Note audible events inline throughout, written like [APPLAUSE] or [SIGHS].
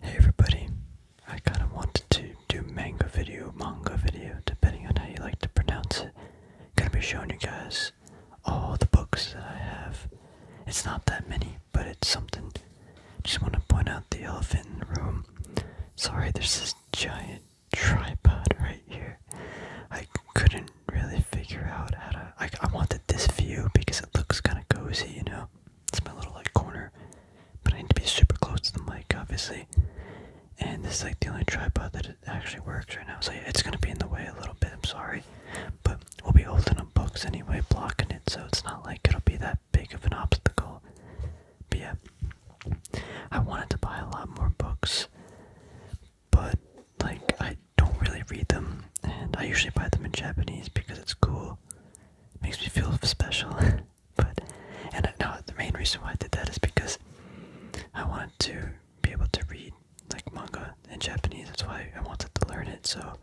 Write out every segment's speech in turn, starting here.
Hey everybody, I kind of wanted to do manga video, manga video, depending on how you like to pronounce it. Gonna be showing you guys all the books that I have. It's not that many, but it's something. Just want to point out the elephant in the room. Sorry, there's this giant tripod right here. I couldn't really figure out how to. I, I wanted this view because it looks kind of cozy, you know? It's my little like corner, but I need to be super close to the mic, obviously. And this is like the only tripod that it actually works right now, so it's gonna be in the way a little bit. I'm sorry, but we'll be holding up books anyway, blocking it, so it's not like it'll be that big of an obstacle. yeah, I wanted to buy a lot more books, but like I don't really read them, and I usually buy them in Japanese because it's cool makes me feel special. [LAUGHS] but and I, no, the main reason why I did that is because I wanted to be able to read like manga in Japanese. That's why I wanted to learn it. So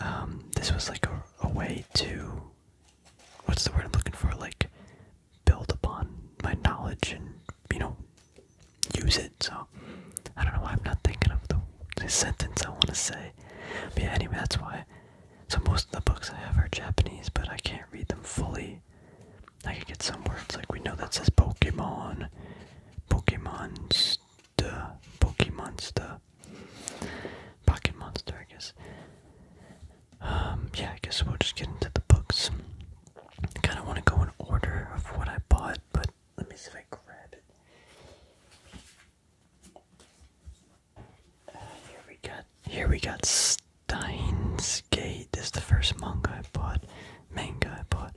um, this was like a way to what's the word I'm looking for? Like build upon my knowledge and you know use it. So I don't know why I'm not thinking of the, sentence I want to say. But anyway, that's why. So most of the books I have are Japanese, but I can't read them fully. I can get some words like we know that says Pokemon, Pokemon's the Pocket Monster, I guess. Um, yeah, I guess we'll just get into the books. I kind of want to go in order of what I bought, but let me see if I grab it. Uh, here we got here we got Steins Gate. This is the first manga I bought, manga I bought.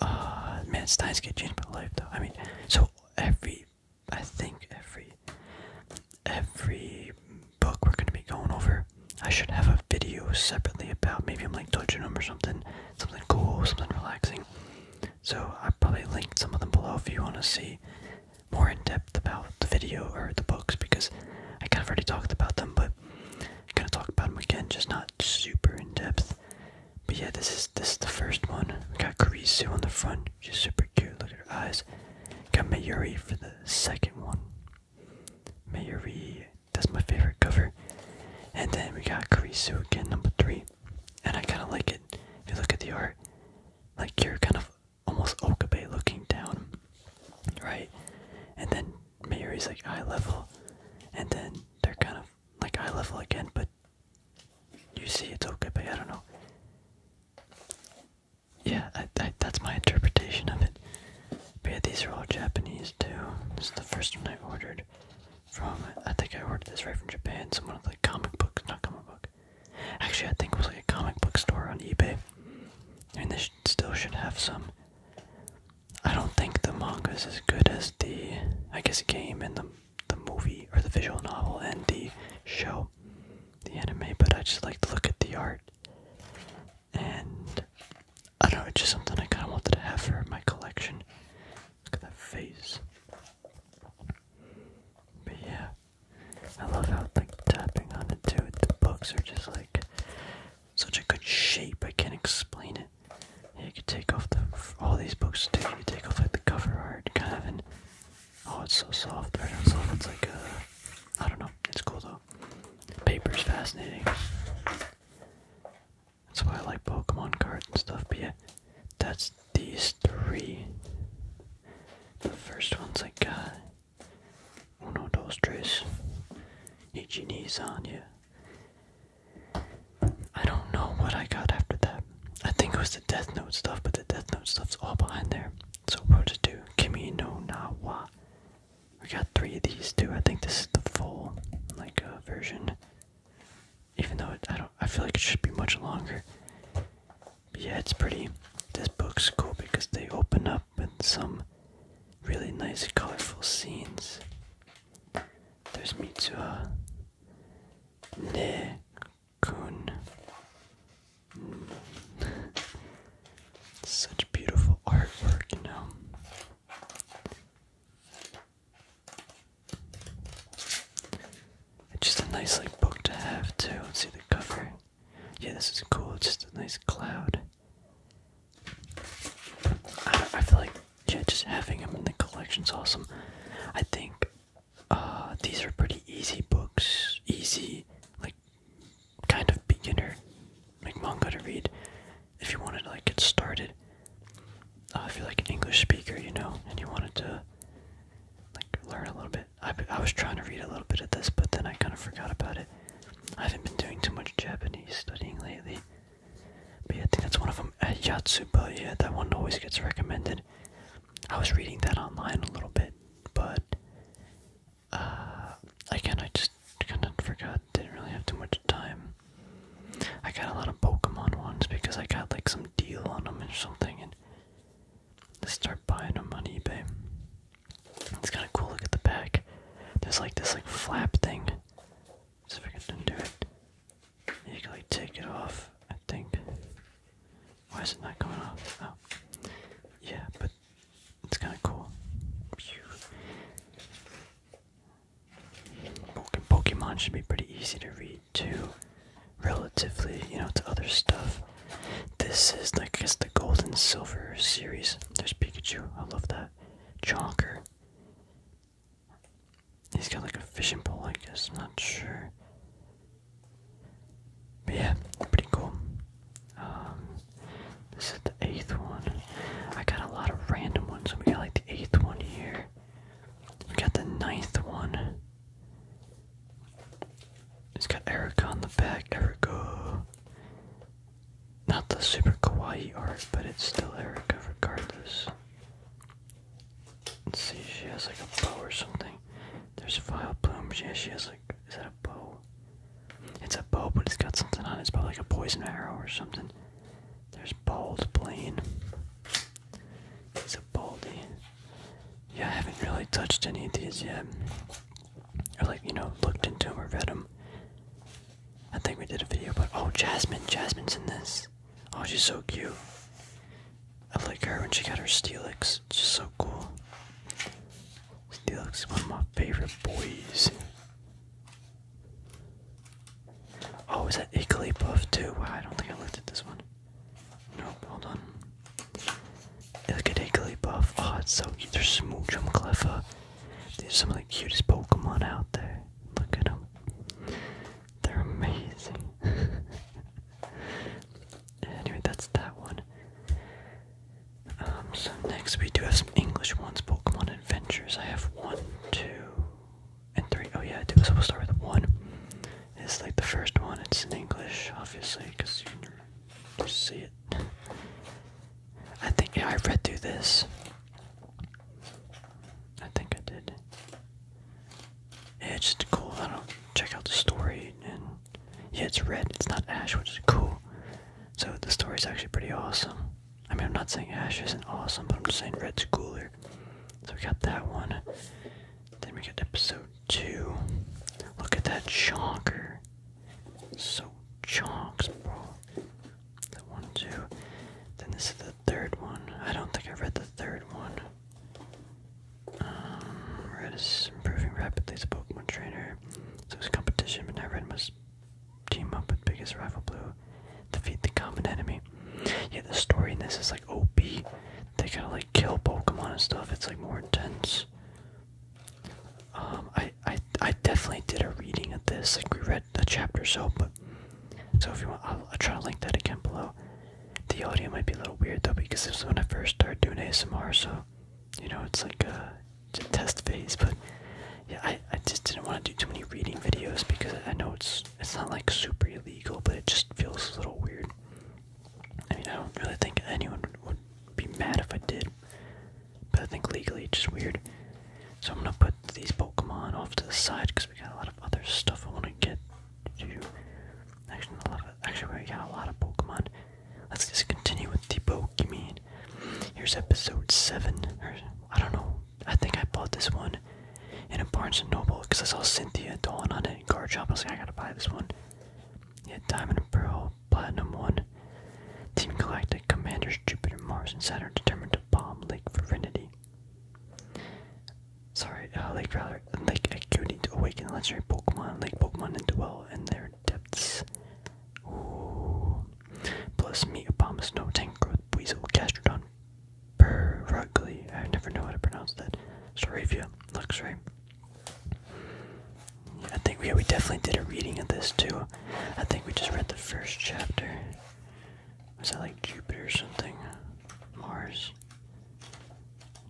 Uh, man, Steins Gate changed my life though. I mean, so every I think every every book we're gonna be going over, I should have a video separately about. Maybe I'm like touching them or something, something cool, something relaxing. So I probably linked some of them below if you want to see more in depth about the video or the books because I kind of already talked about them, but I'm gonna talk about them again, just not super in depth. But yeah, this is this is the first one. We got Karisu on the front, she's super cute. Look at her eyes. Got Mayuri for the second one. Mayuri, that's my favorite cover. And then we got Karisu again, number three and I kind of like it. If you look at the art, like you're kind of almost okabe looking down, right? And then Mayuri's like eye level, and then they're kind of like eye level again, but you see it's okabe. I don't know. Yeah, that's my interpretation of it. yeah, these are all Japanese too. This is the first one I ordered from I think I ordered this right from Japan. Someone like comic book, not comic book. Actually, I think it was like a comic book store on eBay. And they still should have some. I don't think the manga is as good as the I guess game and the the movie or the visual novel and the show, the anime. But I just like to look at the art, and I don't know, it's just something I kind of wanted to have for my collection. Look at that face. But yeah, I love how like tapping on it too. The books are just like such a good shape. I can't explain it. Yeah, you could take off the all these books too. take off like the cover art kind of, and oh, it's so soft. Right on soft. It's like a uh, I don't know. It's cool though. Paper is fascinating. That's why I like Pokemon cards and stuff, but yeah, that's these three. The first ones I got. Uh, Uno, dos, tres. Ichi, on yeah. I don't know what I got after that. I think it was the Death Note stuff, but the Death Note stuff's all behind there. So we'll just do Kimi no na wa. We got three of these too. I think this is the full like uh, version even though I don't, I feel like it should be much longer. yeah, it's pretty. This book's cool because they open up in some really nice, colorful scenes. There's Mitsuha, Ne Kun. [LAUGHS] Such beautiful artwork, you know. It's just a nice like book to have too. let see the cover. Yeah, this is cool. just a nice cloud. I, feel like yeah, just having them in the collection's awesome. I think uh, these are pretty easy books, easy like kind of beginner like manga to read if you wanted to like get started, uh, if you're like an English speaker, you know, and you wanted to like learn a little bit. I, I was trying to read a little bit of this, but then I kind of forgot about it. I haven't been doing too much Japanese studying lately. But I think that's one of them. At uh, Yatsuba, yeah, that one always gets recommended. I was reading that online a little bit, but uh, again, I just kind of forgot I didn't really have too much time. I got a lot of Pokemon ones because I got like some deal on them or something, and I start buying them on eBay. It's kind of cool. Look at the back. There's like this like flap thing. Let's see if I can undo it. You can like take it off. I think. Why is it not coming off? Oh, yeah, but it's kind of cool. Pokemon should be pretty easy to read too, relatively, you know, to other stuff. This is, like it's the Gold and Silver series. There's Pikachu. I love that. Chonker. He's got like a fishing pole, I guess. not sure. But yeah, pretty cool. Um, this is the eighth one. I got a lot of random ones. We got like the eighth one here. We got the ninth one. It's got Erica on the back. Erica. Not the super kawaii art, but it's still Erica regardless. Let's see, she has like a bow or something. There's vile blooms. Yeah, she has like. Is that a bow? It's a bow, but it's got something on it. It's probably like a poison arrow or something. There's Bald Plain. It's a baldy. Yeah, I haven't really touched any of these yet. I like, you know, looked into them or read them. I think we did a video, but oh, Jasmine, Jasmine's in this. Oh, she's so cute. I like her when she got her Steelix. It's just so cool. Steelix is one of my favorite boys. Oh, is that equally buff too? I don't think I looked at this one. No, hold on. Look at equally Oh, it's so cute. They're Smoochum Cleffa. These are some of the cutest Pokemon out there. Look at them. They're amazing. [LAUGHS] anyway, that's that one. Um, so next we do have some English ones, Pokemon adventures. I have one, two, and three. Oh yeah, I do. So we'll start with one. It's like the first one. It's in English, obviously, because you can see it. I think yeah, I read through this. I think I did. Yeah, it's just cool. I don't check out the story, and yeah, it's red. It's not ash, which is cool. So the story is actually pretty awesome. I mean, I'm not saying Ash isn't awesome, but I'm just saying Red's cooler. So we got that one. Then we got episode two. Look at that chonker. So chonks, bro. The one, two. Then this is the third one. I don't think I read the third one. Um, Red is improving rapidly as a Pokemon trainer. So his competition, but now Red was team up with biggest rival blue, defeat the common enemy. Yeah, the story in this is like OP. They kind of like kill Pokemon and stuff. It's like more intense. Um, I I I definitely did a reading of this. Like we read a chapter or so, but so if you want, I'll, I'll try to link that again below. The audio might be a little weird though because this is when I first started doing ASMR, so you know it's like uh test phase, but yeah, I, I just didn't want to do too many reading videos because I know it's it's not like super illegal, but it just feels a little weird. I mean, I don't really think anyone would be mad if I did, but I think legally it's just weird. So I'm gonna put these Pokemon off to the side because we got a lot of other stuff I want to get to. Actually, a lot actually, we got a lot of Pokemon. Let's just continue with the Pokemon. Here's episode 7. Or, I don't know. I think I bought this one in a Barnes & Noble because I saw Cynthia Dawn on it in Card Shop. I was like, I gotta buy this one. Yeah, Diamond and Pearl, Platinum 1. Team Galactic, Commanders, Jupiter, Mars, and Saturn determined to bomb Lake Virinity. Sorry, uh, Lake rather, Lake Acuity to awaken legendary Pokemon, Lake Pokemon, and dwell in their depths. Ooh. Plus Meatopama, Snow Tank Growth, Weasel, Gastrodon, Perugly, I never know how to pronounce that. Sorafia, looks right. Yeah, I think we, we definitely did a reading of this too. I think we just read the first chapter. Was that like Jupiter or something? Mars?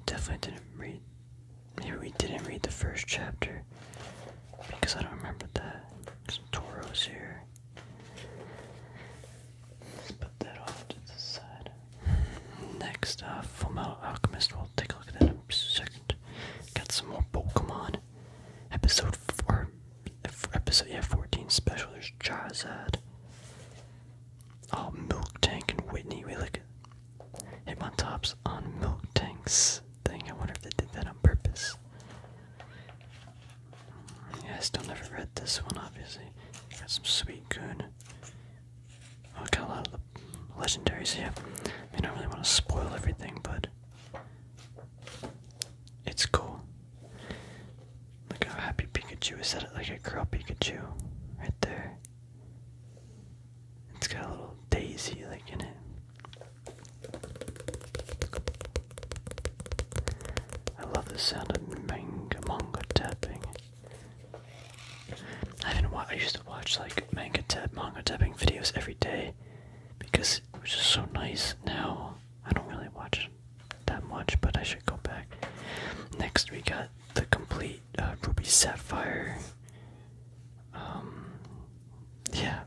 Definitely didn't read. Maybe we didn't read the first chapter. Because I don't remember that. Some toros here. Let's put that off to the side. Next, uh, Full Metal Alchemist. We'll take a look at that in a second. Got some more Pokemon. Episode 4. Episode yeah, 14 special. There's Charizard. Oh, Milk Tank and Whitney. We look at Hitmontops on Milk Tanks thing. I wonder if they did that on purpose. I still never read this one, obviously. Got some sweet goon. Oh, I got a lot of the legendaries here. I mean, I don't really want to spoil everything, but it's cool. Look how happy Pikachu is. Is that like a girl Pikachu? Right there. It's got a little daisy like in it. I love the sound of manga manga tapping. I used to watch like manga tap manga tapping videos every day because it was just so nice. Now I don't really watch that much, but I should go back. Next we got the complete uh, Ruby Sapphire um, yeah,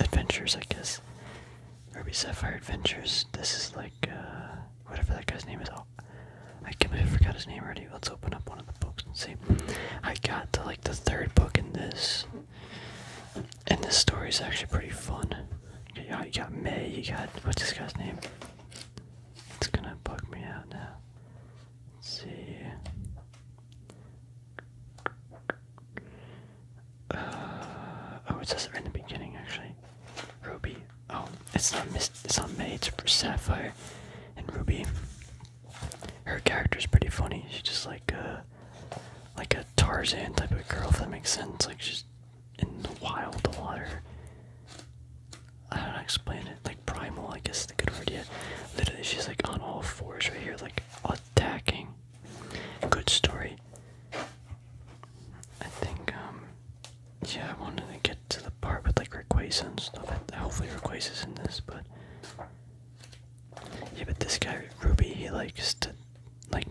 adventures, I guess. Ruby Sapphire Adventures. This is like, uh, whatever that guy's name is. Oh, I can't believe I forgot his name already. Let's open up one of the books and see. I got to like the third book in this. And this story is actually pretty fun. You got, you got May, you got. What's this guy's name? It's gonna bug me out now. Let's see. [SIGHS] oh, it says it in the beginning, actually. Ruby. Oh, it's not it's not made for Sapphire and Ruby. Her character's pretty funny. She's just like a like a Tarzan type of girl, if that makes sense. Like she's in the wild a lot. I don't know explain it. Like primal, I guess is a good word. Yeah, literally, she's like on all fours right here, like attacking. Good story. I think, um, yeah, I wanted to get to the part with like Rayquaza and stuff. I, hopefully Rayquaza's in this, but yeah, but this guy Ruby, he likes to like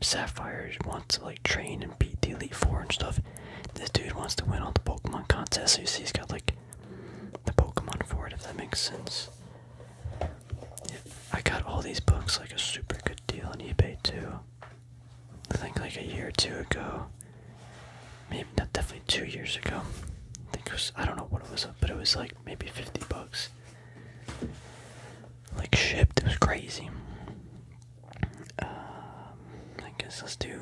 Sapphire wants to like train and beat the Elite Four and stuff. This dude wants to win all the Pokemon contests. So you see, he's got like the Pokemon for it, if that makes sense. I got all these books like a super good deal on eBay too. I think like a year or two ago. Maybe not definitely two years ago. I think it was I don't know what it was, but it was like maybe fifty bucks. Like shipped, it was crazy. Um, I guess let's do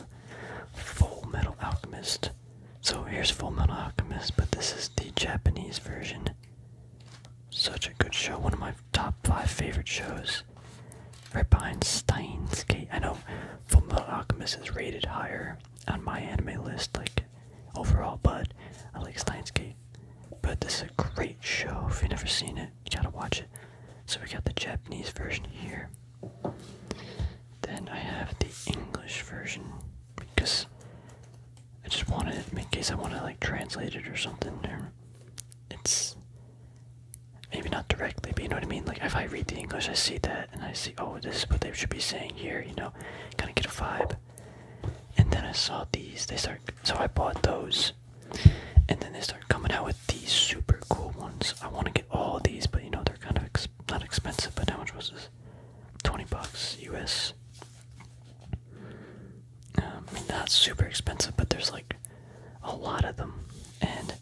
Full Metal Alchemist. So here's Full Metal Alchemist, but this is the Japanese version. Such a good show, one of my top five favorite shows. Right behind Steins Gate. I know Full Metal Alchemist is rated higher on my anime list, like overall, but I like Steins Gate. But this is a great show. If you've never seen it, you gotta watch it. So we got the Japanese version here. Then I have the English version because I just wanted in case I want to like translate it or something. it's maybe not directly, but you know what I mean. Like if I read the English, I see that and I see, oh, this is what they should be saying here. You know, kind of get a vibe. And then I saw these. They start. So I bought those. And then they start coming out with these super cool ones. I want to get all these, but you know they're kind of not expensive. But how much was this? twenty bucks U.S. I um, mean, not super expensive, but there's like a lot of them, and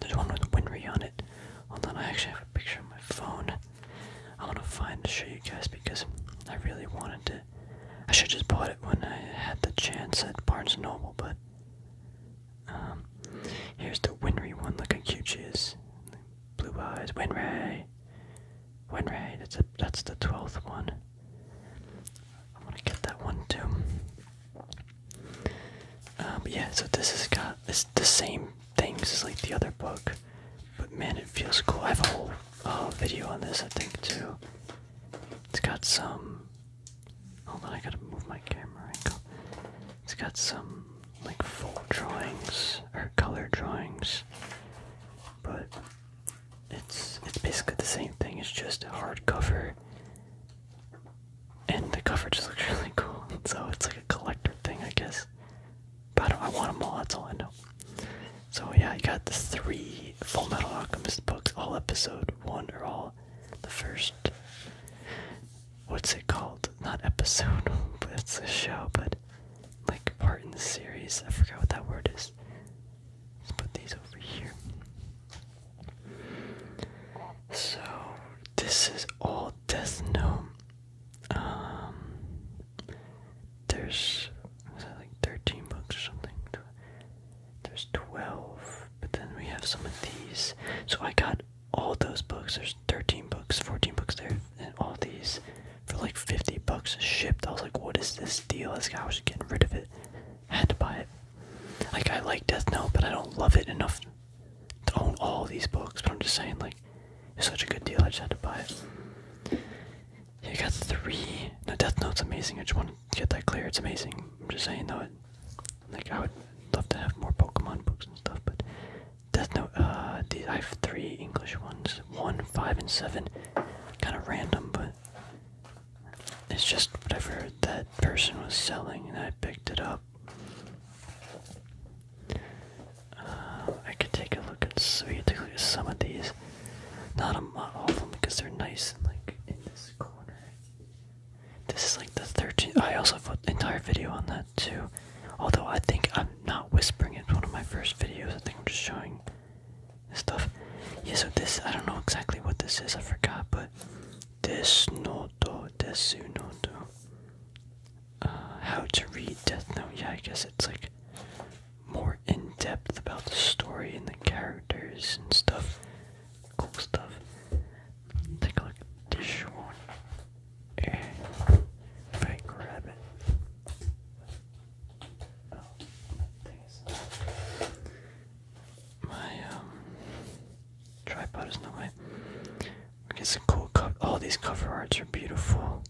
there's one with Winry on it. Hold on, I actually have a picture on my phone. I want to find to show you guys because I really wanted to. I should just bought it when I had the chance at Barnes Noble, but um, here's the Winry one. Look how cute she is. Blue eyes. Winry. Winry. That's a, that's the twelfth one. I want to get that one too. Um, yeah, so this has got it's the same things as like the other book, but man, it feels cool. I have a whole video on this, I think too. It's got some. Hold on, I gotta move my camera angle. It's got some like full drawings or color drawings, but it's it's basically the same thing. It's just a hardcover, and the cover just [LAUGHS] looks really cool. So it's like a collector thing, I guess. But I, don't, I want them all. That's all I know. So yeah, I got the three Full Metal Alchemist books, all episode one or all the first what's it called? Not episode, [LAUGHS] but it's a show, but like part in the series. I forgot what that word is. Let's put these over here. So this is all Death Note. Um, there's like thirteen books or something. There's twelve, but then we have some of these. So I got all those books. There's 13 books, 14 books there, and all these for like 50 bucks shipped. I was like, what is this deal? This guy was getting rid of it. I had to buy it. Like, I like Death Note, but I don't love it enough to own all these books. But I'm just saying, like, it's such a good deal. I just had to buy it. Yeah, got three. The Death Note's amazing. I just want to get that clear. It's amazing. I'm just saying, though, like I would love to have more Pokemon books and stuff, but Death Note. Uh, I have three English ones: one, five, and seven. Kind of random, but it's just whatever that person was selling, and I picked it up. Uh, I could take a look at so we take a look at some of these. Not a lot of them because they're nice and like in this corner. This is like the 13th. I also put an entire video on that too. Although I think I'm not whispering, it's one of my first videos. I think I'm just showing stuff. Yeah, so this, I don't know exactly what this is, I forgot, but Desu Noto, Desu Noto. Uh, how to read Death Note. Yeah, I guess it's like more in depth about the story and the characters and stuff cool stuff. Take a look at this one. if I grab it. Oh, my um tripod is not my we get some cool all these cover arts are beautiful.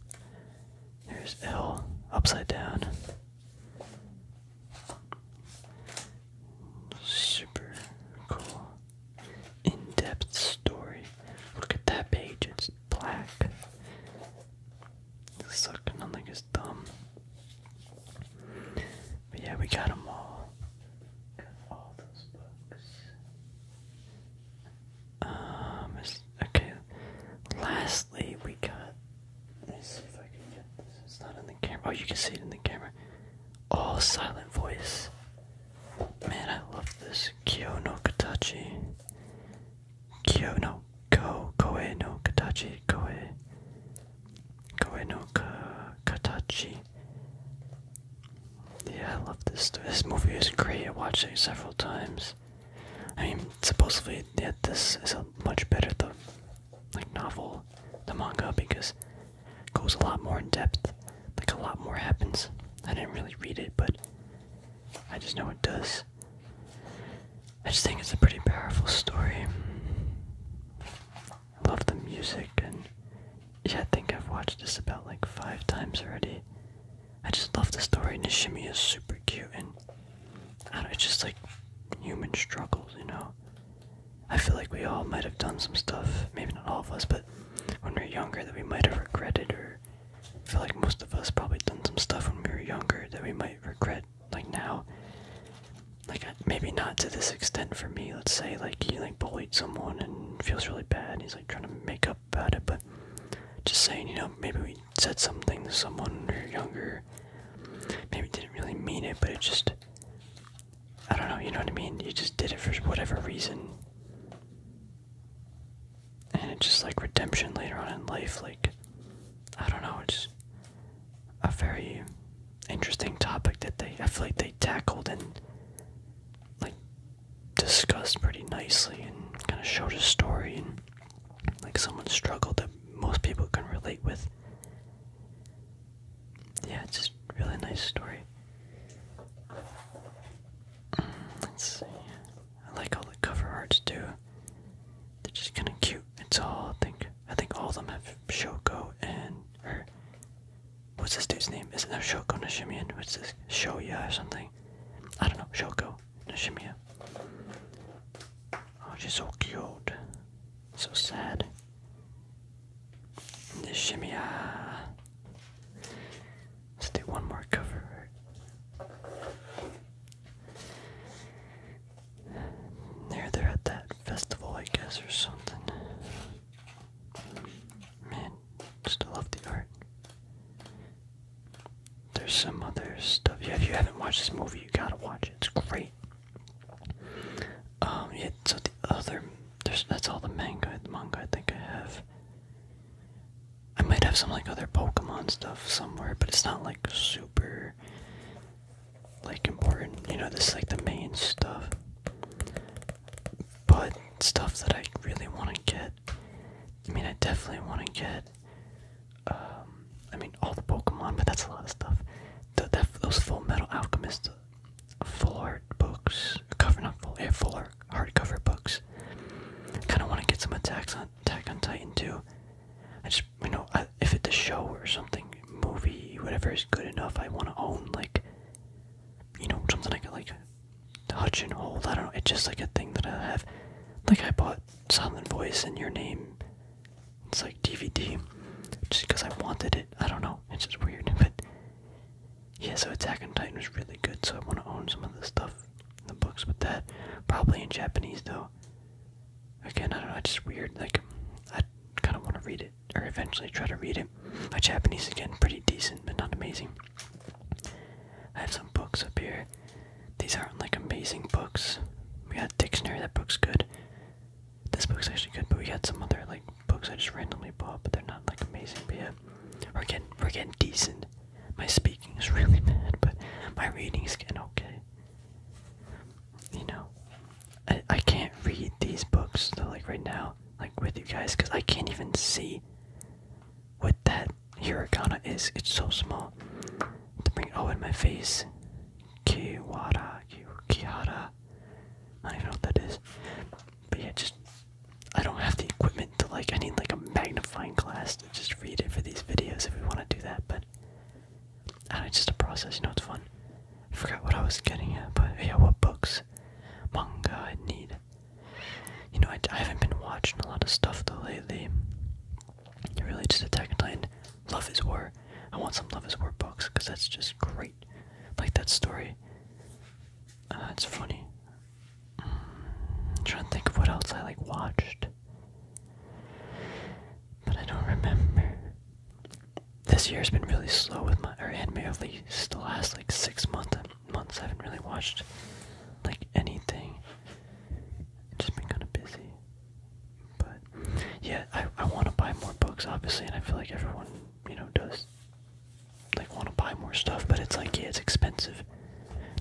There's L upside down. Super cool. In-depth story. Look at that page, it's black. Sucking on like his thumb. But yeah, we got them all. Got all those books. Um, okay. Lastly, we got. Let if I can get this. It's not in the camera. Oh, you can see it in the camera all silent voice. Man, I love this. Kyo no Katachi. Kyo no Ko. Koe no Katachi. Koe. Koe no ka, Katachi. Yeah, I love this. This movie is great. I watched it several times. I mean, supposedly, yeah, this is a much better the like novel, the manga because goes a lot more in depth. Like, a lot more happens. I didn't really read it, but I just know it does. I just think it's a pretty powerful story. I love the music, and yeah, I think I've watched this about like five times already. I just love the story. and Nishimi is super cute, and I it's just like human struggles, you know? I feel like we all might have done some stuff, maybe not all of us, but when we are younger that we might have regretted, or feel like most of us probably done some stuff when we were younger that we might regret, like now. Like uh, maybe not to this extent for me. Let's say like he like bullied someone and feels really bad. And he's like trying to make up about it, but just saying, you know, maybe we said something to someone when we were younger. Maybe didn't really mean it, but it just I don't know, you know what I mean? You just did it for whatever reason. And it's just like redemption later on in life, like, I don't know, it's a very interesting topic that they, I feel like they tackled and, like, discussed pretty nicely and kind of showed a story and, like, someone's struggle that most people can relate with yeah, it's just really nice story. Mm, let's see. I like all the cover arts too. They're just kind of cute. It's all I think. I think all of them have Shoko and or what's this dude's name? Isn't there Shoko Nishimiya? What's this Shoya or something? I don't know. Shoko Nishimiya. Oh, she's so cute. So sad. Nishimiya. Uh, let's do one more cover. There, they're at that festival, I guess, or something. Man, just love the art. There's some other stuff. if you haven't watched this movie, you gotta watch it. It's great. Um, yeah, so the other, there's, that's all the manga, the manga I think I have. I might have some, like, other Pokemon stuff somewhere, but it's not, like, super, like, important. You know, this is, like, the main stuff. But stuff that I really want to get, I mean, I definitely want to get, um, I mean, all the Pokemon, but that's a lot of stuff. that, those Full Metal Alchemist full art books, cover not full, yeah, full art hardcover books. Kind of want to get some attacks on Attack on Titan too. I just you know if it's a show or something, movie, whatever is good enough, I want to own like you know something I can like touch and hold. I don't know. It's just like a thing that I have. Like I bought Silent Voice and Your Name it's like DVD, just because I wanted it. I don't know. It's just weird, [LAUGHS] but yeah. So Attack on Titan was really good. So I want to own some of the stuff, the books with that. Probably in Japanese though. Again, I don't know. It's just weird. Like I kind of want to read it, or eventually try to read it. My Japanese is getting pretty decent, but not amazing. I have some books up here. These aren't like amazing books. We got a dictionary. That book's good. This book's actually good, but we had some other like books I just randomly bought, but they're not like amazing. But yeah, we're getting we're getting decent. My speaking is [LAUGHS] really bad, but my reading's getting okay. You know, I I can't read these books though, like right now, like with you guys, because I can't even see what that hiragana is. It's so small. To bring oh in my face, Kiwara, Kihara, I don't know what that is. But yeah, just I don't have the equipment to like I need like a magnifying glass to just read it for these videos if we want to do that, but I do it's just a process, you know it's fun. I forgot what I was getting at, but yeah, what books? Manga I need. You know, I, I haven't been watching a lot of stuff though lately. Really, just Attack on Titan. Love is War. I want some Love is War books because that's just great. Like that story. Uh, it's funny. I'm trying to think of what else I like watched, but I don't remember. This year's been really slow with my, or and merely the last like six months months I haven't really watched like anything. just been kind of busy. But yeah, I I want to buy more books, obviously, and I feel like everyone you know does like want to buy more stuff, but it's like yeah, it's expensive.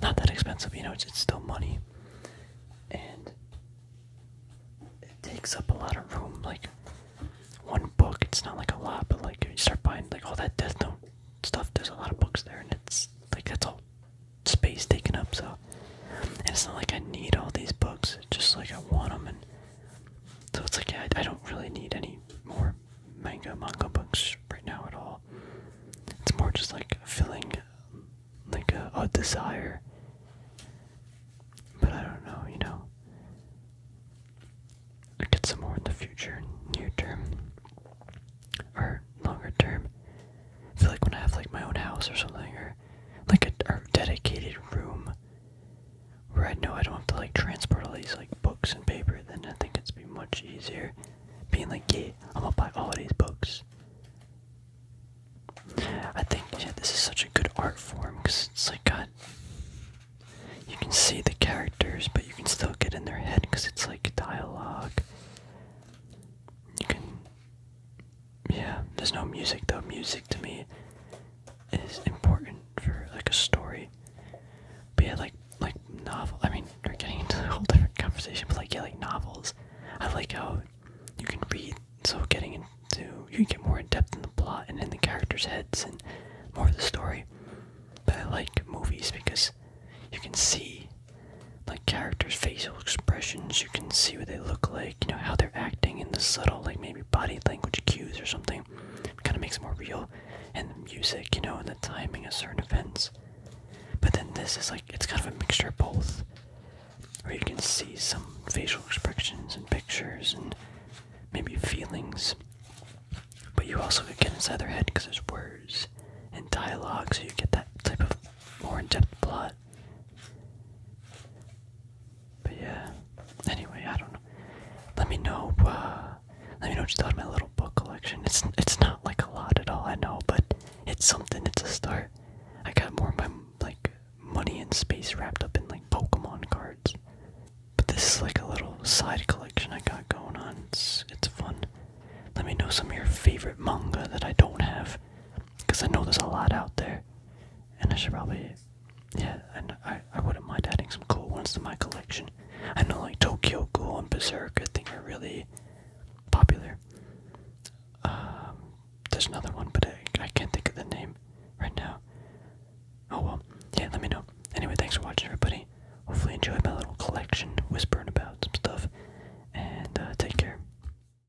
Not that expensive, you know. It's it's still money, and it takes up a lot of room. Like one book, it's not like a lot, but like you start buying like all that Death Note stuff, there's a lot of books there, and it's like that's all space taken up. So and it's not like I need all these books, just like I want them. And so it's like, yeah, I, don't really need any more manga, manga books right now at all. It's more just like filling like a, desire. But I don't know, you know. I get some more in the future, near term, or longer term. I feel like when I have like my own house or something, or like a, dedicated room where I know I don't have to like transport all these like books and paper. Then I think it's be much easier being like, yeah, I'm gonna buy all these books. I think yeah, this is such a good art form because it's like got you can see the characters, but you can still get in their head because it's like dialogue. You can yeah, there's no music though. Music to me is important for like a story. But yeah, like like novel. I mean, we're getting into a whole different conversation. But like yeah, like novels. I like how you can read. So getting into you can get more in depth in the plot and in the characters' heads and more of the story. But I like movies because you can see like characters' facial expressions. You can see what they look like you know how they're acting in the subtle like maybe body language cues or something kind of makes it more real and the music you know and the timing of certain events but then this is like it's kind of a mixture of both where you can see some facial expressions and pictures and maybe feelings but you also get inside their head because there's words and dialogue so you get that type of more in-depth plot but yeah. Anyway, I don't know. Let me know. Uh, let me know what you thought of my little book collection. It's it's not like a lot at all, I know, but it's something. It's a start. I got more of my like money and space wrapped up in like Pokemon cards. But this is like a little side collection I got going on. It's it's fun. Let me know some of your favorite manga that I don't have because I know there's a lot out there, and I should probably, yeah, and I I wouldn't mind adding some cool ones to my collection. I know like Tokyo Ghoul and Berserk I think are really popular. Um, there's another one, but I, I can't think of the name right now. Oh well, yeah, let me know. Anyway, thanks for watching, everybody. Hopefully, enjoy my little collection, whispering about some stuff, and uh, take care.